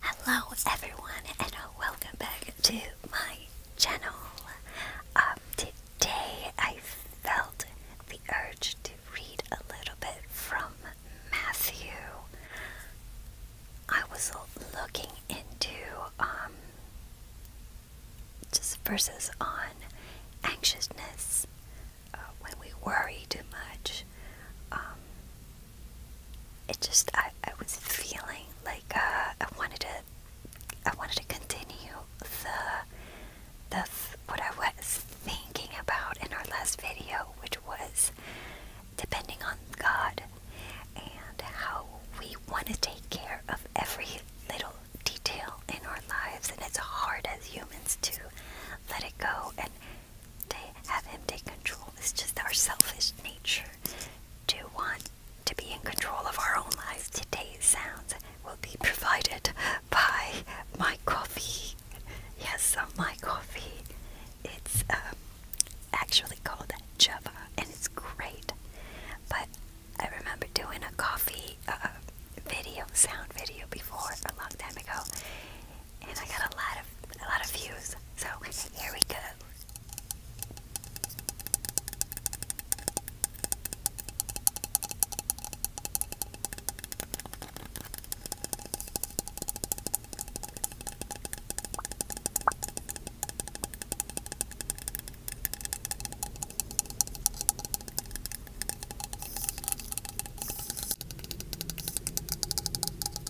Hello everyone and welcome back to my channel. Um, today I felt the urge to read a little bit from Matthew. I was looking into um, just verses on anxiousness uh, when we worry too much. Um, it just I, I was feeling like uh, I wanted to I wanted to continue the the what I was thinking about in our last video, which was depending on God and how we want to take care of every little detail in our lives, and it's hard as humans to let it go and to have him take control. It's just our selfish nature to want to be in control of our own lives. Today's sounds will be provided by my coffee. Yes, uh, my coffee. It's um, actually called Java and it's great. But I remember doing a coffee uh, video, sound video before a long time ago, and I got a lot of a lot of views. So here we go.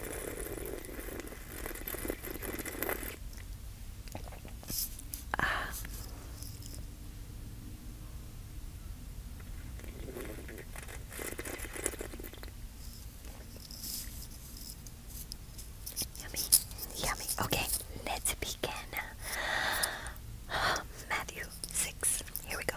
Um, um, Yummy, yummy. Okay, let's begin. Matthew six. Here we go.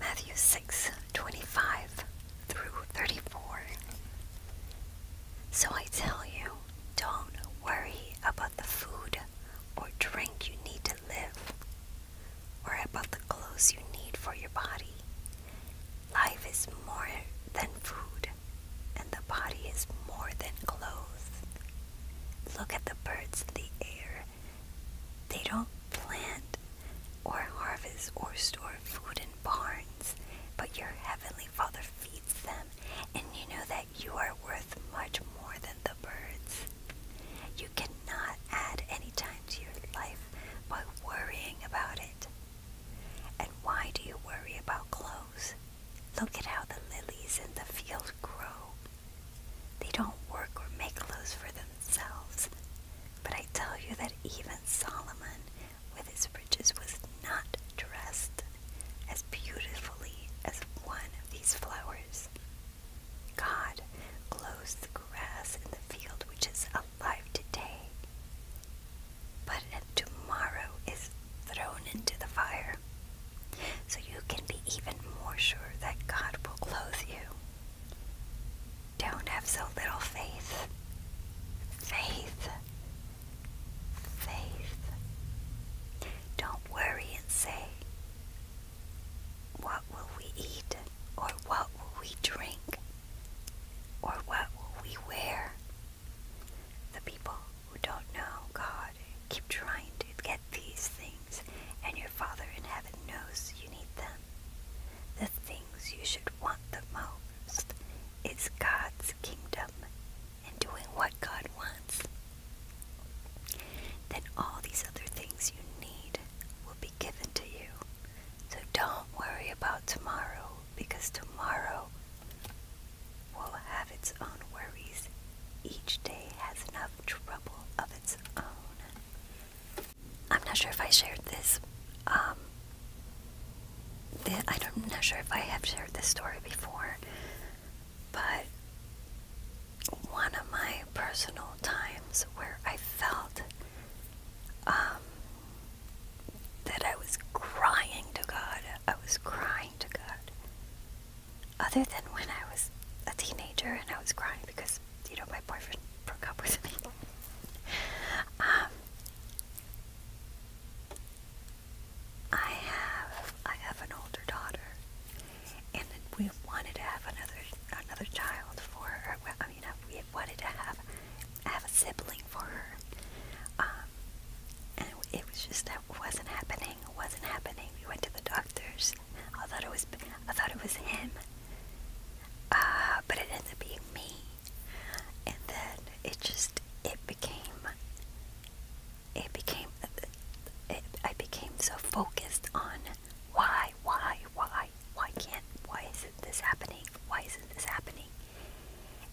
Matthew 6 25 through 34. So I tell you, don't worry about the food or drink you need to live, or about the clothes you need for your body. Life is more than food, and the body is more than clothes. Look at the birds in the air. They don't plant or harvest or store food in barns, but your heavenly Father feeds them, and you know that you are worth much more than the birds. You cannot add any time to your life by worrying about it. And why do you worry about clothes? Look at how the lilies in the field grow. They don't work or make clothes for themselves. But I tell you that even Solomon, with his riches, was not dressed as beautifully as one of these flowers. God clothes the grass in the field which is alive today, but tomorrow is thrown into the fire. So you can be even more sure that God will clothe you. Don't have so little faith. Faith. Faith. Don't worry and say, What will we eat? Or what will we drink? Or what will we wear? The people who don't know God Keep trying to get these things, and your Father in heaven knows you need them. The things you should want the most is God's kingdom and doing what God wants. Then all these other things you need will be given to you. So don't worry about tomorrow because tomorrow will have its own worries. Each day has enough trouble of its own. I'm not sure if I shared this. Um, I'm not sure if I have shared this story before, but one of my personal times where I felt um, that I was crying to God, I was crying to God other than when I was a teenager and I was crying because, you know, my boyfriend broke up with me. um, I have I have an older daughter, and we wanted to have another another child for her. Well, I mean, we wanted to have have a sibling for her, um, it was just that wasn't happening. It wasn't happening. We went to the doctors. I thought it was I thought it was him, uh, but it ended up being me. And then it just it became it became it, I became so focused on why why why why can't why isn't this happening why isn't this happening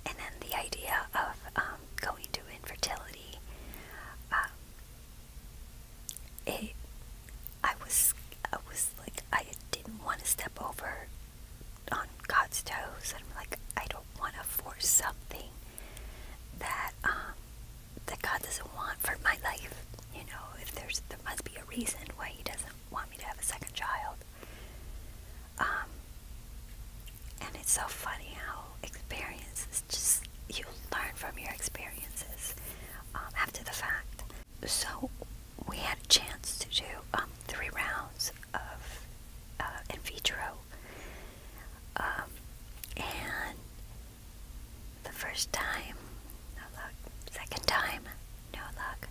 and then the idea of um, going to infertility. Uh, it, I was, I was like, I didn't want to step over on God's toes. I'm like, I don't want to force something that um, that God doesn't want for my life. You know, if there's there must be a reason why He doesn't want me to have a second child. Um, and it's so funny how experiences just you learn from your experiences um, after the fact. So we had a chance to do um, three rounds of uh, in vitro, um, and the first time, no luck. Second time, no luck.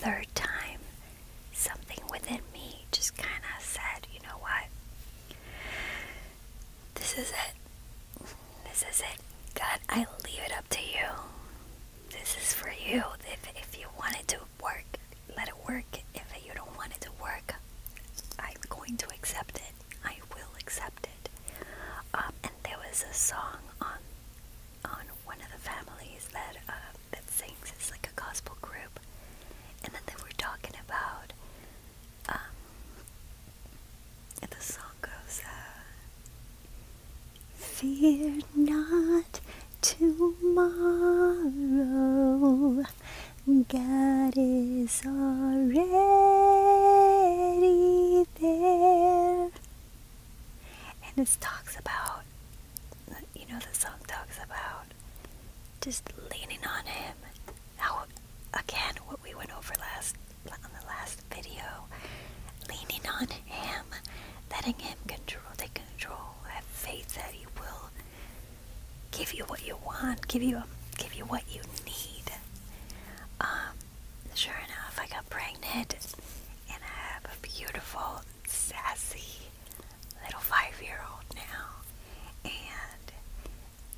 Third time, something within me just kind of said, you know what? This is it. This is it. God, I leave it up to you. This is for you. If, if you want it to work, let it work. If you don't want it to work, I'm going to accept it. I will accept it. Um, and there was a song on on one of the families that um, that sings. It's like a gospel group, and then they were talking about. Um, the song goes, uh, Fear not tomorrow, God is already there. And this talks about you know, the song talks about just leaning on Him. How, again, what we went over last on the last video, leaning on Him, letting Him control, take control. Have faith that He will give you what you want, give you, give you what you need. Um, sure enough, I got pregnant, and I have a beautiful sassy little five year old now, and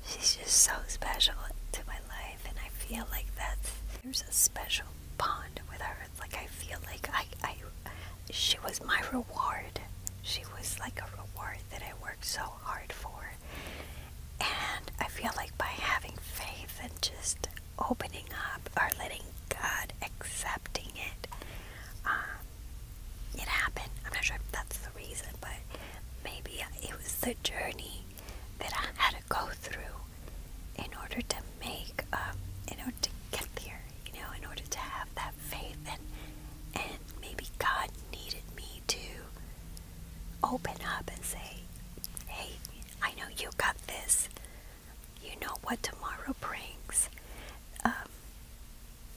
she's just so special to my life. And I feel like that's there's a special bond with her. like I feel like I, I she was my reward. She was like a reward that I worked so hard for. And I feel like by having faith and just opening up or letting God accepting it, um, it happened. I'm not sure if that's the reason, but maybe it was the journey that I had to go through in order to make, um, in order to get there, you know, in order to have that faith. And, and maybe God needed me to open up and say, hey, I know you got this you know what tomorrow brings. Um,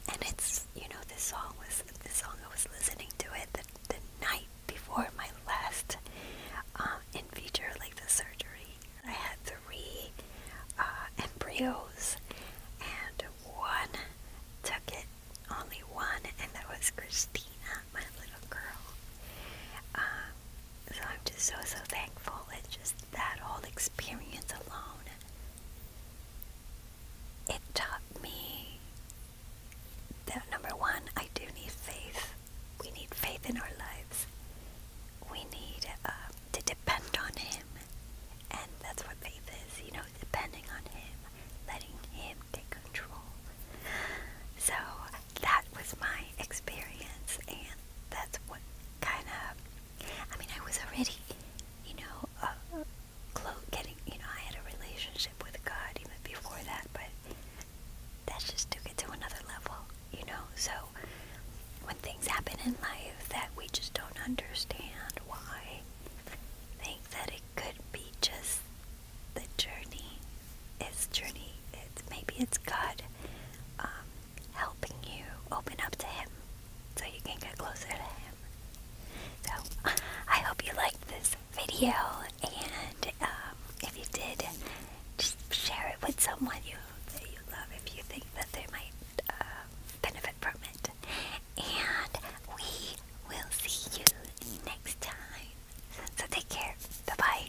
and it's you know this song was the song I was listening to it the, night before my last um, in feature like the surgery. I had three uh, embryos and one took it only one and that was Christina, my little girl. Um, so I'm just so so thankful. It just that whole experience alone, it taught me that number one, I do need faith. We need faith in our lives. We need uh, to depend on Him. And that's what faith is, you know, depending on Him, letting Him take control. So that was my experience, and that's what kind of I mean, I was already, you know, uh, close, getting, you know, I had a relationship with God even before that, but that just took it to another level, you know? So when things happen in life that we just don't understand why, think that it could be just the journey. It's journey. It's maybe it's God. Um, helping you open up to Him so you can get closer to Him. So, I hope you liked this video, and um, if you did, just share it with someone you, that you love if you think that they might uh, benefit from it. And we will see you next time. So, take care. Bye bye.